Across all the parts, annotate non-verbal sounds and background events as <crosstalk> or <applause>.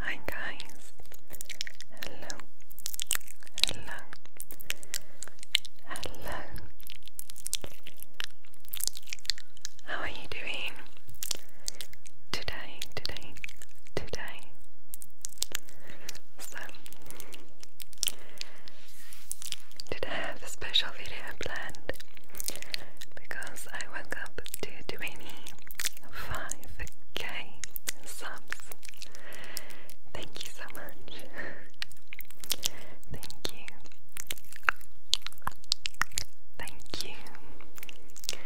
Hi guys. Hello. Hello. Hello. How are you doing? Today, today, today. So today I have a special video planned because I woke up to do any. 5k subs. Thank you so much. Thank you. Thank you.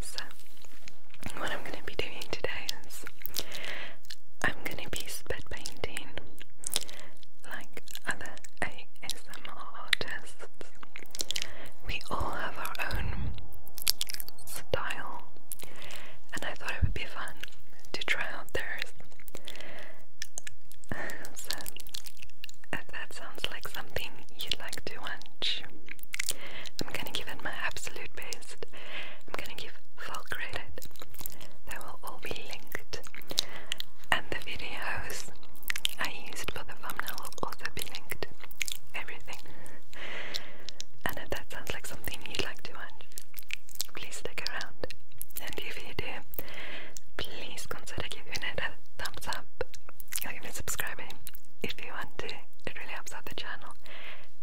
So, what I'm going to be doing today is I'm going to be spit painting like other ASMR artists. We all have our own style, and I thought it would be fun to try out theirs. so, if that sounds like something you'd like to watch, I'm gonna give it my absolute best. I'm gonna give full credit. They will all be linked, and the videos I used for the thumbnail will also be linked everything. And if that sounds like something you'd like to watch, please stick around. And if you do, please consider giving it a thumbs up or even subscribing if you want to. It really helps out the channel.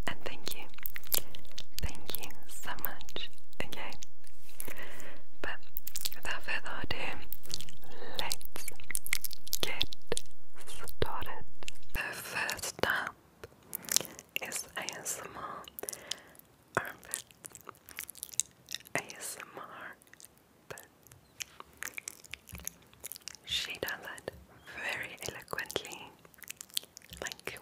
And thank you. Thank you so much again. But without further ado, let's get started. The first stop is ASMR ASMR she does it very eloquently. Like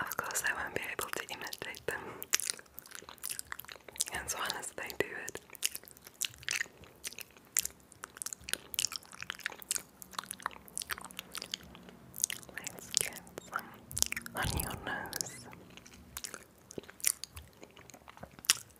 of course, I won't be able to imitate them as well as they do it. Let's get on your nose.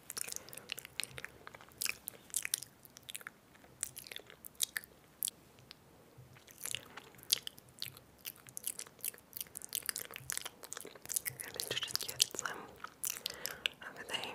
I'm interested to get some over there.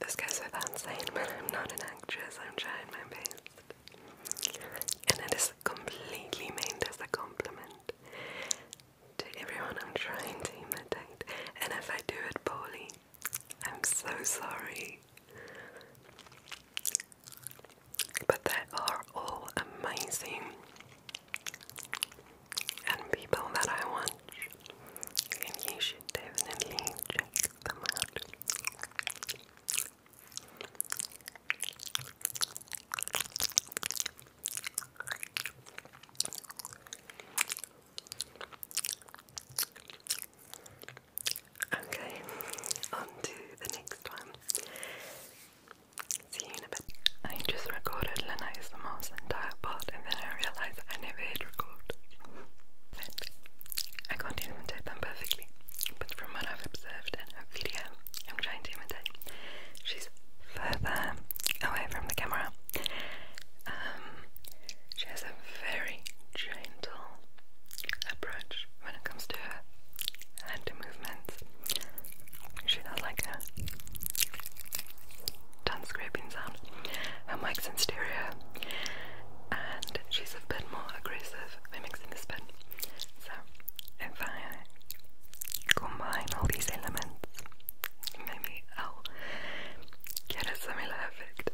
This goes without saying, but I'm not an actress, I'm trying my best. And it is completely meant as a compliment to everyone I'm trying to imitate, and if I do it poorly, I'm so sorry. But they are all amazing and people that I watch, and you should definitely check them out. Okay, on the next one. See you in a bit. I just recorded Lanay's the most entire part and then I realised I never hit record. But I can't imitate them perfectly. But from what I've observed in a video, I'm trying to imitate. She's further away from the camera. Um, she has a very gentle approach when it comes to her hand movements. She does like a tongue scraping sound. I like in stereo, and she's a bit more aggressive when mixing this bit. So, if I combine all these elements maybe I'll get it similar effect.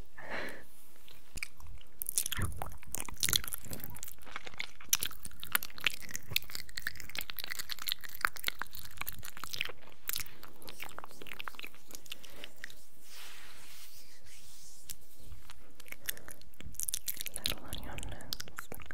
Little on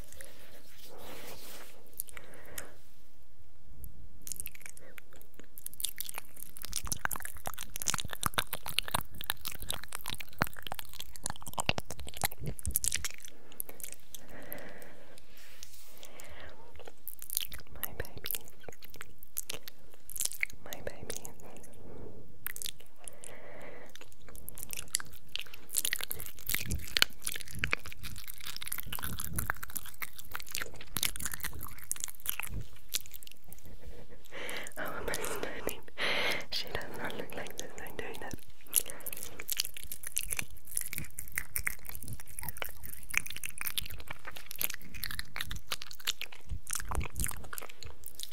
My babies, my babies, how am I She does not look like this. I'm doing that.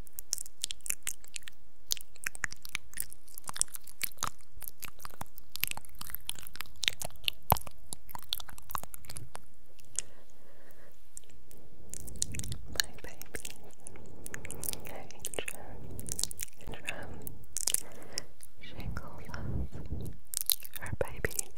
My baby, Adrian, Adrian, she calls us her my babies.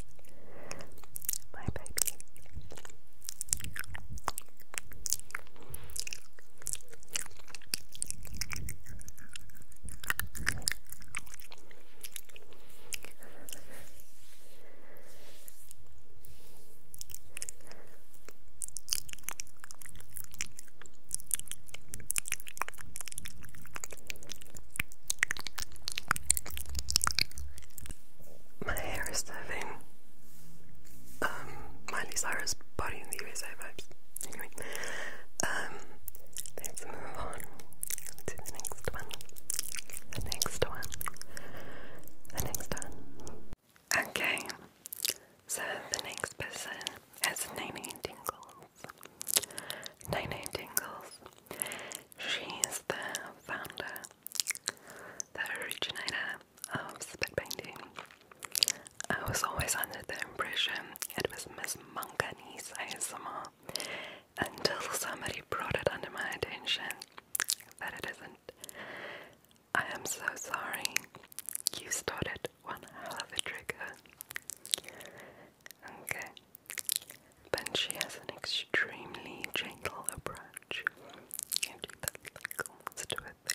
My hair is living um, Miley Cyrus body in the USA vibes. Anyway, um, let's move on to the next one. The next one. The next one. Okay, so the next person has Nene Tingles. Nene Tingles. She is the founder, the originator, of um, spit painting. I was always under the impression it was Miss Manganese ASMR until somebody brought it under my attention that it isn't. I am so sorry. You started one hell of a trigger. Okay. But she has an extremely gentle approach. You do that like almost to a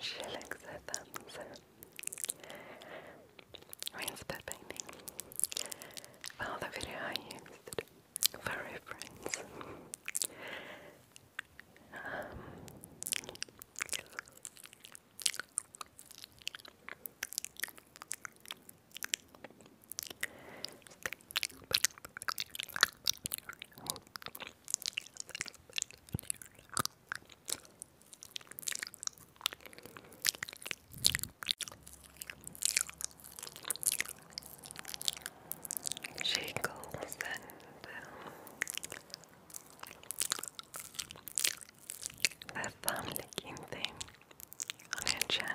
She likes her thumbs. Rinse the painting. Well, video I used for reference. She goes and um, thumb licking thing on her channel.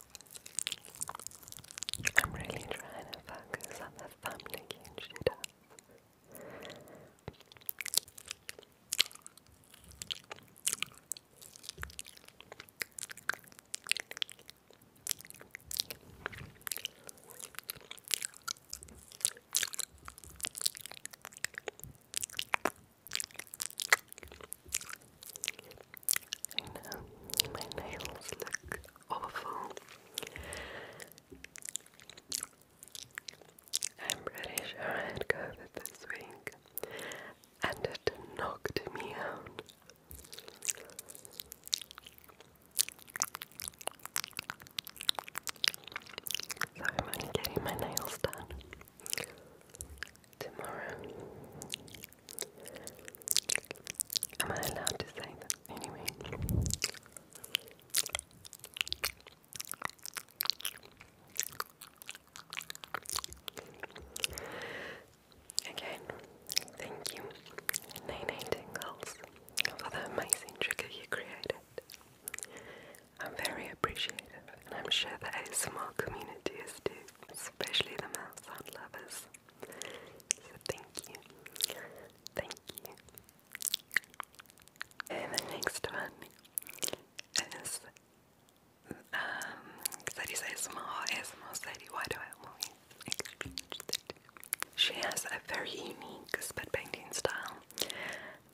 I'm really trying to focus on the thumbnail she does. I am ready to I had COVID this and it knocked me out. So I'm getting my nails done tomorrow. Am I allowed to say that anyway? Again, thank you, Nene Tingles, for the amazing trigger you created. I'm very appreciative, and I'm sure the ASMR community is too, especially the mouth sound lovers. So thank you. Thank you. And the next one is um Sadie says small ASMR Sadie, why do I always She has a very unique spit painting style.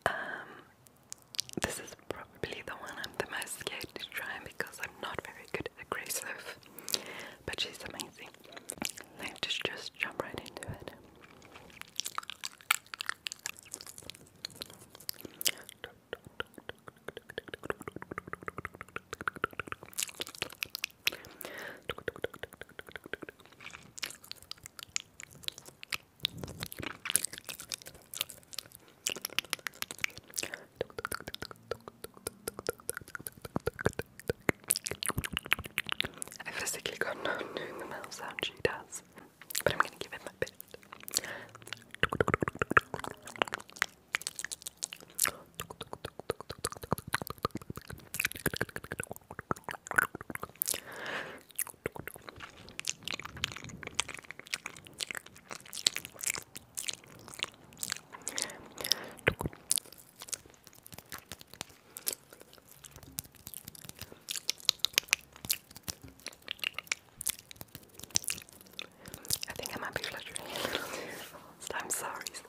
Um this is probably the one I'm the most scared to try because I'm not very good at aggressive but she's amazing. Let's just, jump right into it. I physically got no doing the mouth sound she does, but I'm gonna give it my best. I think I might be fluttering too <laughs> fast. I'm sorry, Sadie.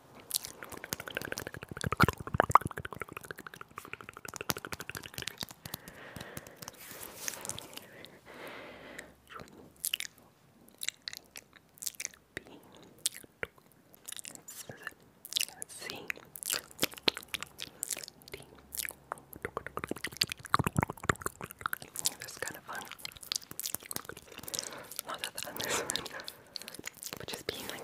This is kind of fun. Not that that's this one, but just being like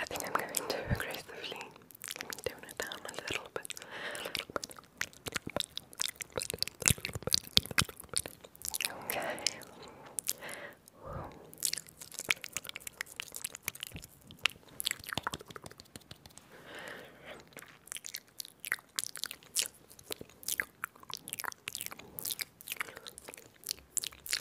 I think I'm going to aggressively tone it down a little bit. Okay.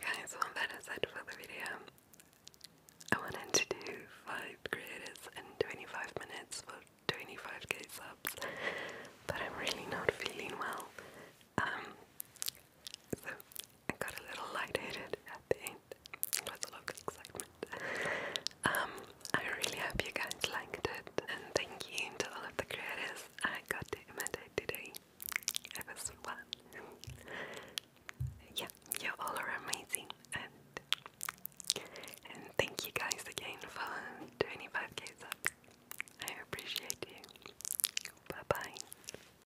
guys, I'm better set for the video. I wanted to do 5 creators in 25 minutes for 25k subs, but I'm really not feeling well. Um, I got a little lightheaded at the end. was a lot of excitement. Um, I really hope you guys liked it, and thank you to all of the creators I got to imitate today. It was fun. yeah, you all amazing, and and thank you guys again for 25k subs. I appreciate you. Bye bye.